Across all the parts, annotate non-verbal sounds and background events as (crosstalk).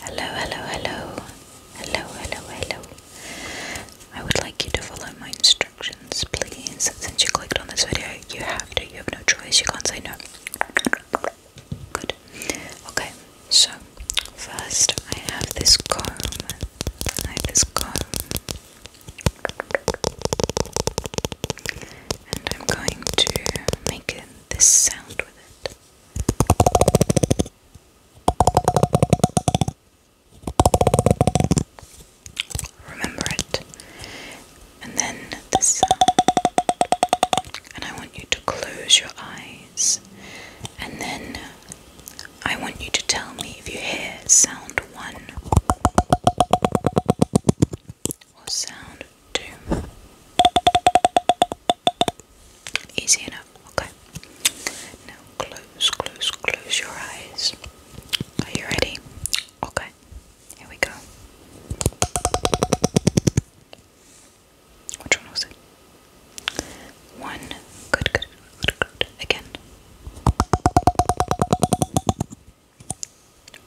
Hello, hello, hello. Hello, hello, hello. I would like you to follow my instructions, please. Since you clicked on this video, you have to. You have no choice. You can't say no. Good. Okay, so first I have this comb. I have this comb. And I'm going to make this sound with it. Remember it. And then the sound. And I want you to close your eyes. And then I want you to tell me if you hear sound one or sound Easy enough, okay. Now close, close, close your eyes. Are you ready? Okay, here we go. Which one was it? One. Good, good, good, good. Again.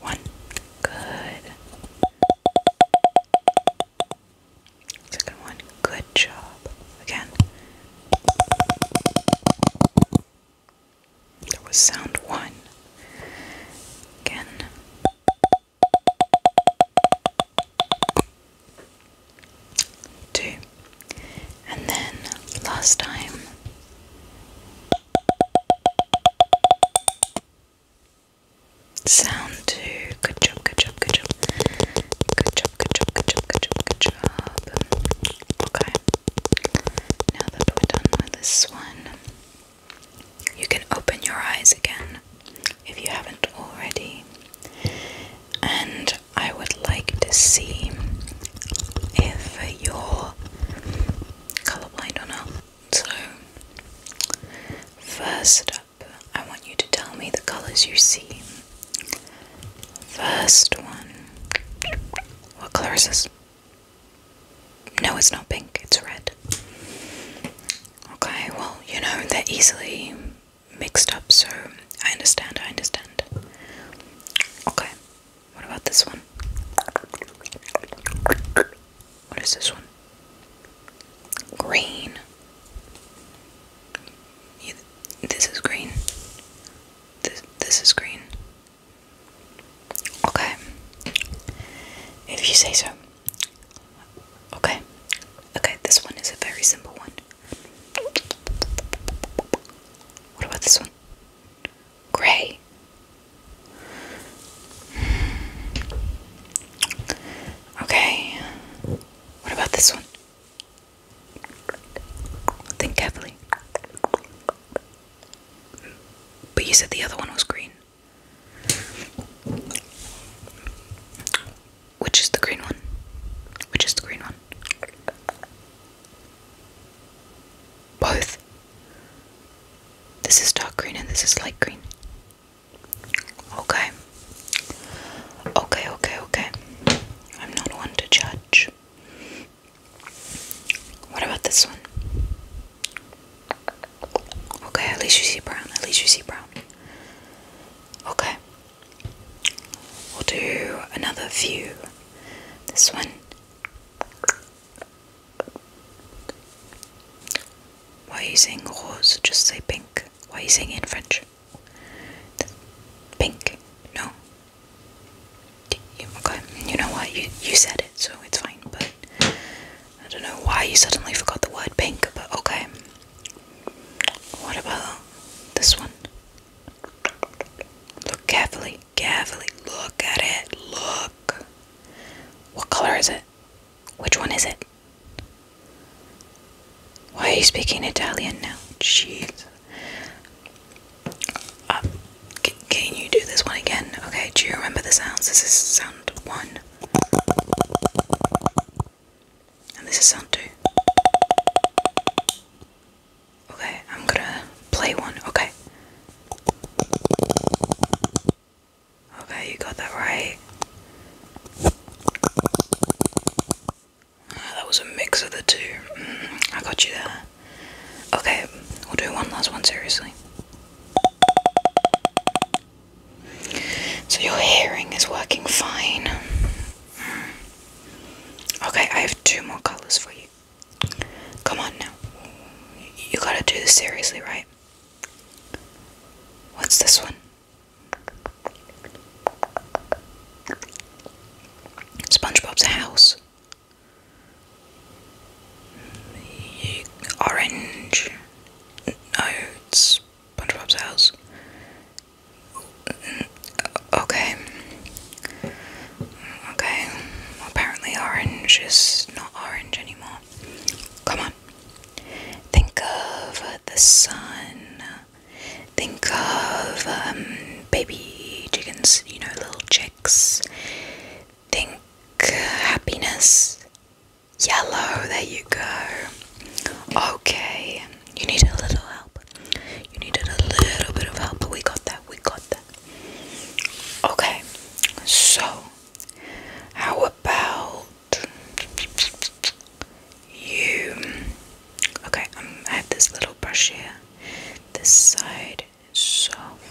One. Good. Second one. Good job. Again. There was sound one. Again. Two. And then last time. Sound two. Good job, good job, good job. Good job, good job, good job, Okay. Now that we're done with this one, you can open your eyes again if you haven't already. And I would like to see if you're colorblind or not. So, first I want you to tell me the colors you see. First one. What color is this? No, it's not pink, it's red. Okay, well, you know, they're easily mixed up, so I understand, I understand. Okay, what about this one? What is this one? green. this is green. This, this is green. Okay. If you say so. Okay. Okay, this one is a very simple one. What about this one? Gray. Okay. What about this one? Think carefully. But you said the other one was green. Which is the green one? Which is the green one? Both. This is dark green and this is light green. Okay. Okay, okay, okay. I'm not one to judge. What about this one? Okay, at least you see brown. At least you see brown. Okay. We'll do another view. This one. Why are you saying rose? Just say pink. Why are you saying it in French? Pink. No. Okay. You know what? You you said it, so it's fine. But I don't know why you suddenly forgot the word pink. But okay. What about this one? Look carefully. Carefully. Look at it. Look. What color is it? Which one is it? Why are you speaking Italian now? Jeez. Uh, can you do this one again? Okay, do you remember the sounds? This is sound one. And this is sound two. Okay, I'm gonna play one. Okay. Okay, you got that right. Ah, that was a mix of the two. Mm, I got you there. Okay, we'll do one last one seriously. So your hearing is working fine. Mm. Okay, I have two more colours for you. Come on now. You gotta do this seriously, right? What's this one? SpongeBob's house. Orange. No, it's SpongeBob's house. Okay. Okay. Apparently, orange is not orange anymore. Come on. Think of the sun. Think of um, baby chickens, you know, little chicks. Think uh, happiness. Yellow, there you go. Okay, you need a little help. You needed a little bit of help, but we got that, we got that. Okay, so how about you. Okay, um, I have this little brush here. This side is soft.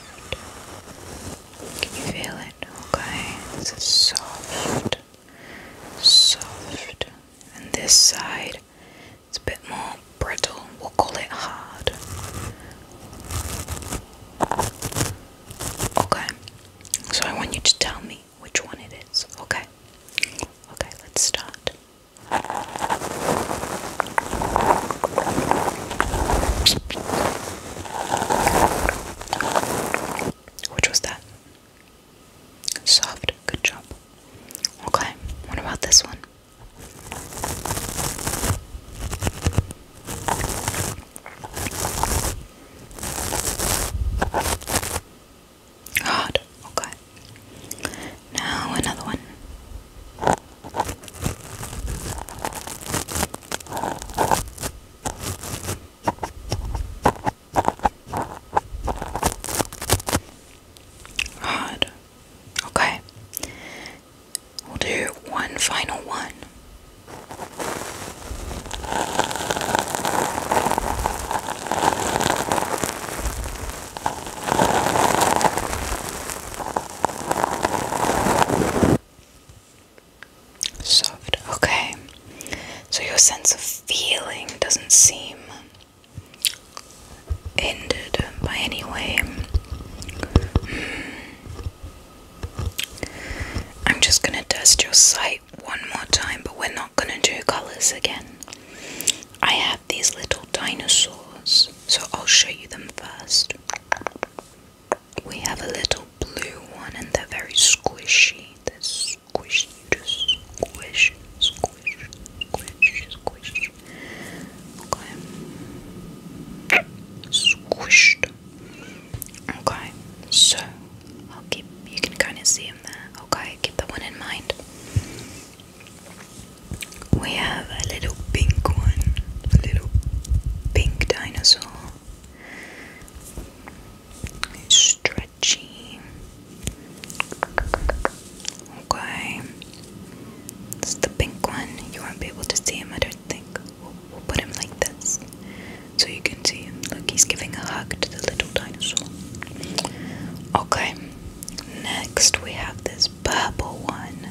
Can you feel it? Okay, this soft, soft, and this side is a bit more brittle. We'll call it hard. Okay, so I want you to tell me which one it is. Okay. Okay, let's start. Which was that? Soft. Good job. Okay, what about this one? Hard, okay. Now another one. Hard. Okay. We'll do one final one. Soft, okay. So your sense of feeling doesn't seem ended by any way. Hmm. I'm just gonna dust your sight white one more time, but we're not gonna do colors again. I have these little dinosaurs, so I'll show you them first. We have a little blue one, and they're very squishy. They're squishy, just squish, squish, squish, squish. Okay. Squished. Okay, so I'll keep. You can kind of see Okay, keep the one in mind. We have a little pink one, a little pink dinosaur. It's stretchy. Okay, it's the pink one. You won't be able to see him, I don't think. we'll put him like this. So you can see him. Look, he's giving a hug to the little dinosaur. Okay, next we have this purple one.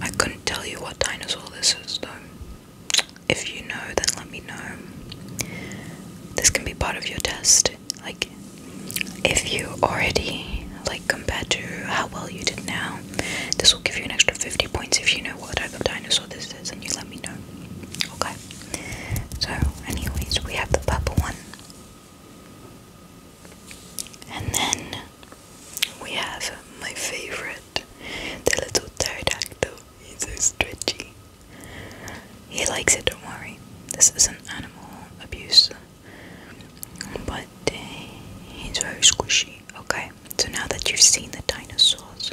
I couldn't tell you what dinosaur this is though. If you know, then let me know. This can be part of your test. Like, if you already, like, compared to how well you did now, this will give you an extra 50 points if you know what type of dinosaur this is and you let me know. Okay. So, anyways, we have the purple one. And then we have my favorite, the little pterodactyl. He's so stretchy. He likes it, don't worry. This isn't animal abuse. But eh, he's very squishy. Okay, so now that you've seen the dinosaurs,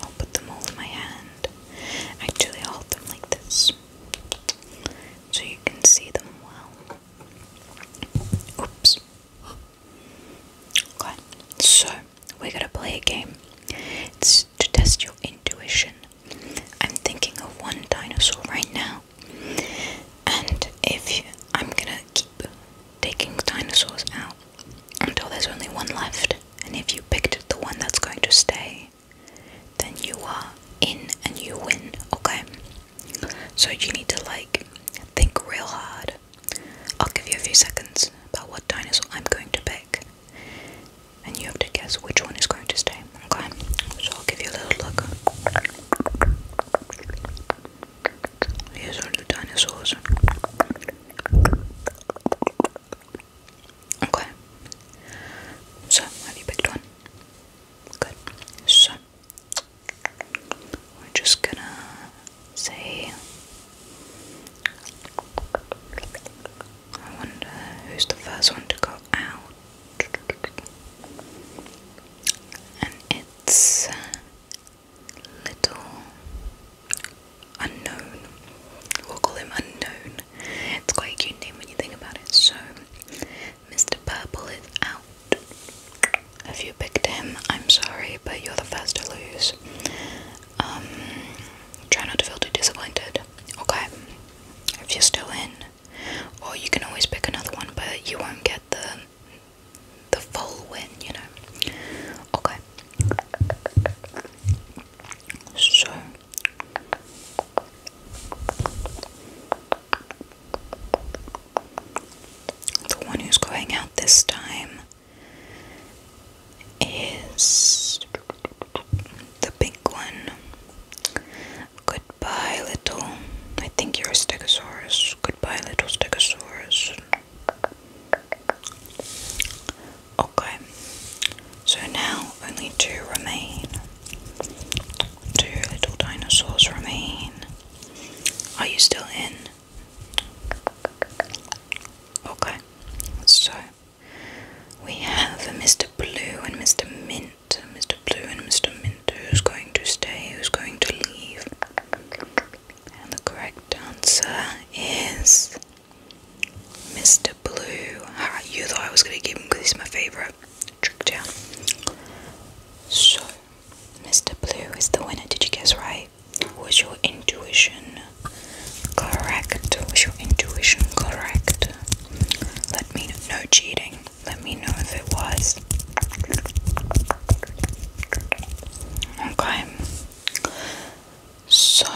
I'll put them all in my hand. Actually, I'll hold them like this so you can see them well. Oops. Okay, so we're gonna play a game. It's to test your intuition. I'm thinking of one dinosaur right now, and if I'm gonna keep taking dinosaurs out until there's only one left. And if you picked the one that's going to stay, then you are in and you win, okay? So you need to like think real hard. I'll give you a few seconds about what dinosaur I'm going to pick, and you have to guess which one is going to stay, okay? So I'll give you a little look. Here's all the dinosaurs. Okay. So, have you picked one? Good. So, we're just gonna say. I wonder who's the first one to go out. And it's little unknown. We'll call him unknown. It's quite a cute name when you think about it. So, Mr. Purple is out. If you picked him, I'm sorry, but you're the first to lose. Um, try not to feel too disappointed. Okay, if you're still in, or you can always pick another one, but you won't get the the full win, you know. Okay. So the one who's going out this time is the big one. Goodbye, little. I think you're a Stegosaurus. Goodbye, little Stegosaurus. Okay, so now only two remain. Two little dinosaurs remain. Are you still in? Okay, so we have Mr. Blue and Mr. Mint. Mr. Blue and Mr. Mint. Who's going to stay? Who's going to leave? And the correct answer is Mr. Blue. you thought I was going to give him because he's my favourite. Trick down. So, Mr. Blue is the winner. Did you guess right? Was your intuition correct? Was your intuition correct? Let me know. cheating. Let me know if it was. Okay. So,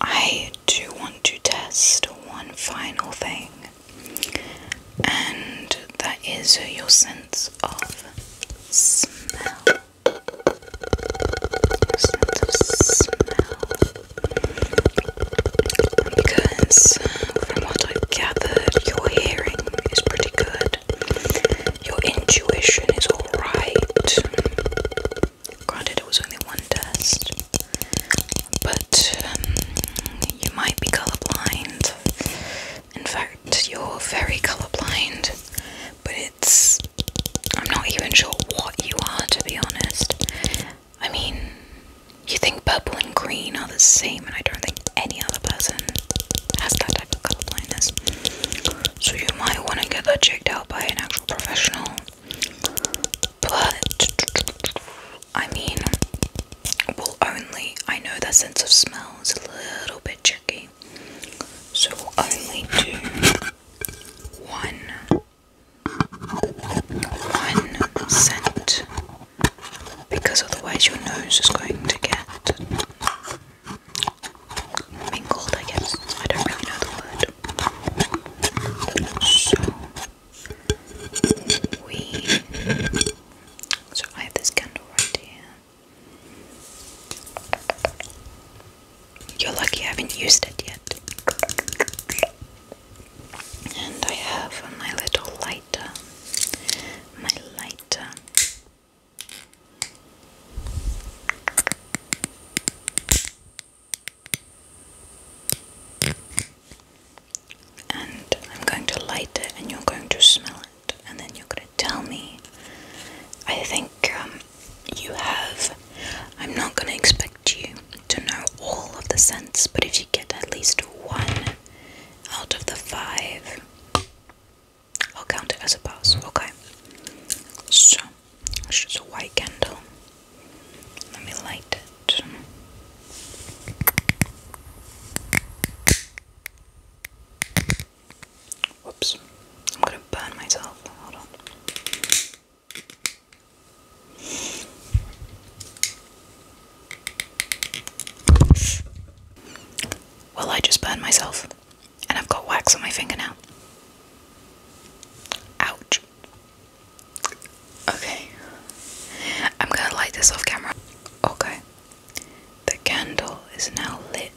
I do want to test one final thing, and that is your sense of smell. sense of smell. Because, from what i gathered, your hearing is pretty good. Your intuition is alright. Granted, it was only one test, but um, you might be colorblind. In fact, you're very colorblind, but it's. I'm not even sure what you are, to be honest. I mean, you think purple and green are the same, and I don't think any other person has that type of colorblindness. So you might want to get that checked out by an actual professional. But I mean, we'll only. I know that sense of smell is a little bit tricky, so we'll only do one. One scent because otherwise your nose is going to get mingled, I guess. I don't really know the word. So we so I have this candle right here. You're lucky I haven't used it yet. And I have my little lighter. My lighter. And I'm going to light it, and you're going to smell it, and then you're going to tell me. I think um, you have. I'm not going to expect you to know all of the scents, but if you get at least one out of the five, I'll count it as a pass. Okay. So it's just a white candle. Let me light it. Whoops. I'm gonna burn myself. Hold on. Well, I just burned myself. And I've got wax on my fingernail. Ouch. Okay. I'm gonna light this off camera. Okay. The candle is now lit.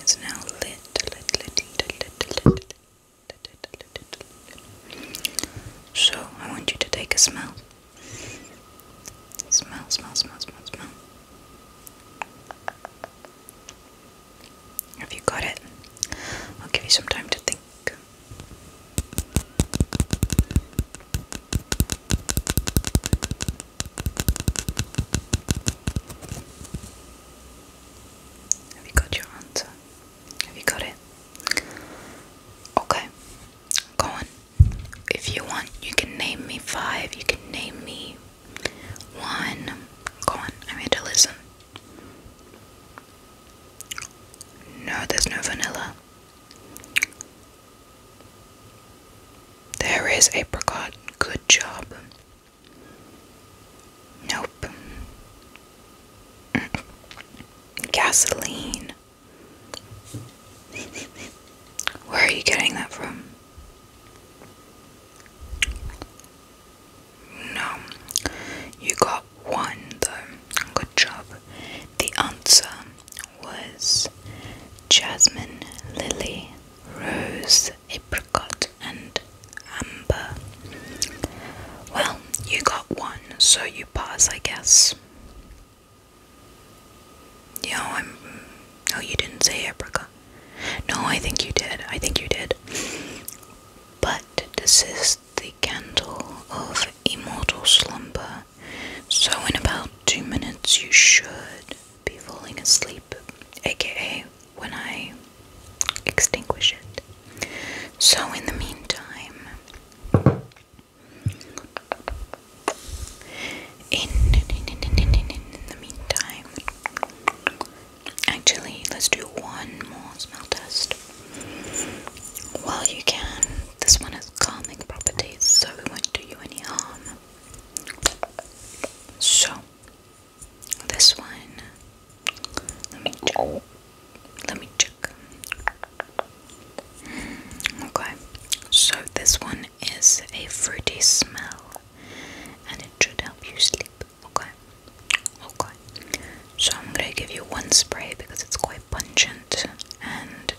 It's now lit. So I want you to take a smell. Smell, smell, smell, smell, smell. Have you got it? I'll give you some time to think. Have you got your answer? Have you got it? Okay, go on if you want, you can name me five, you can name me one. Go on, I'm here to listen. No, there's no vanilla. There is apricot. Good job. Nope. Mm. Gasoline. Where are you getting that from? No. You got one though. Good job. The answer was jasmine, lily, rose, apricot, and amber. Well, you got one, so you pass, I guess. You I'm. No, you didn't say apricot. No, I think you did. I think you did. But this is the candle of immortal slumber. So, in about two minutes, you should be falling asleep, aka when I extinguish it. So, in the meantime, in, the meantime, actually, let's do one more smell test. Well, you can. This one has calming properties, so it won't do you any harm. So, this one, let me. Let me Okay, so this one is a fruity smell and it should help you sleep. Okay, okay. So I'm gonna give you one spray because it's quite pungent, and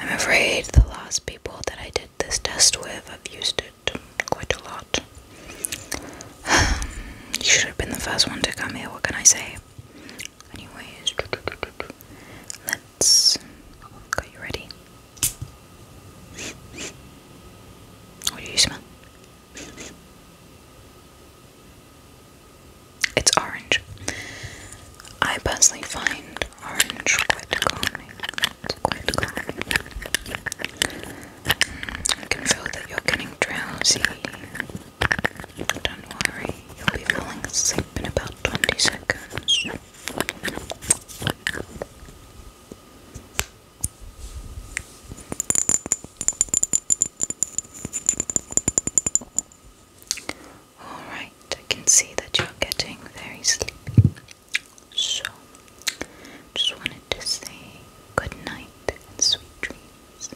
I'm afraid the last people that I did this test with have used it quite a lot. (sighs) you should have been the first one to come here, what can I say? Anyways, let's. Are you ready? What do you smell? It's orange. I personally find orange quite calming. Mm, I can feel that you're getting drowsy. Don't worry. You'll be falling asleep in about 20 seconds. Alright, I can see that you're getting very sleepy. So, just wanted to say good night and sweet dreams.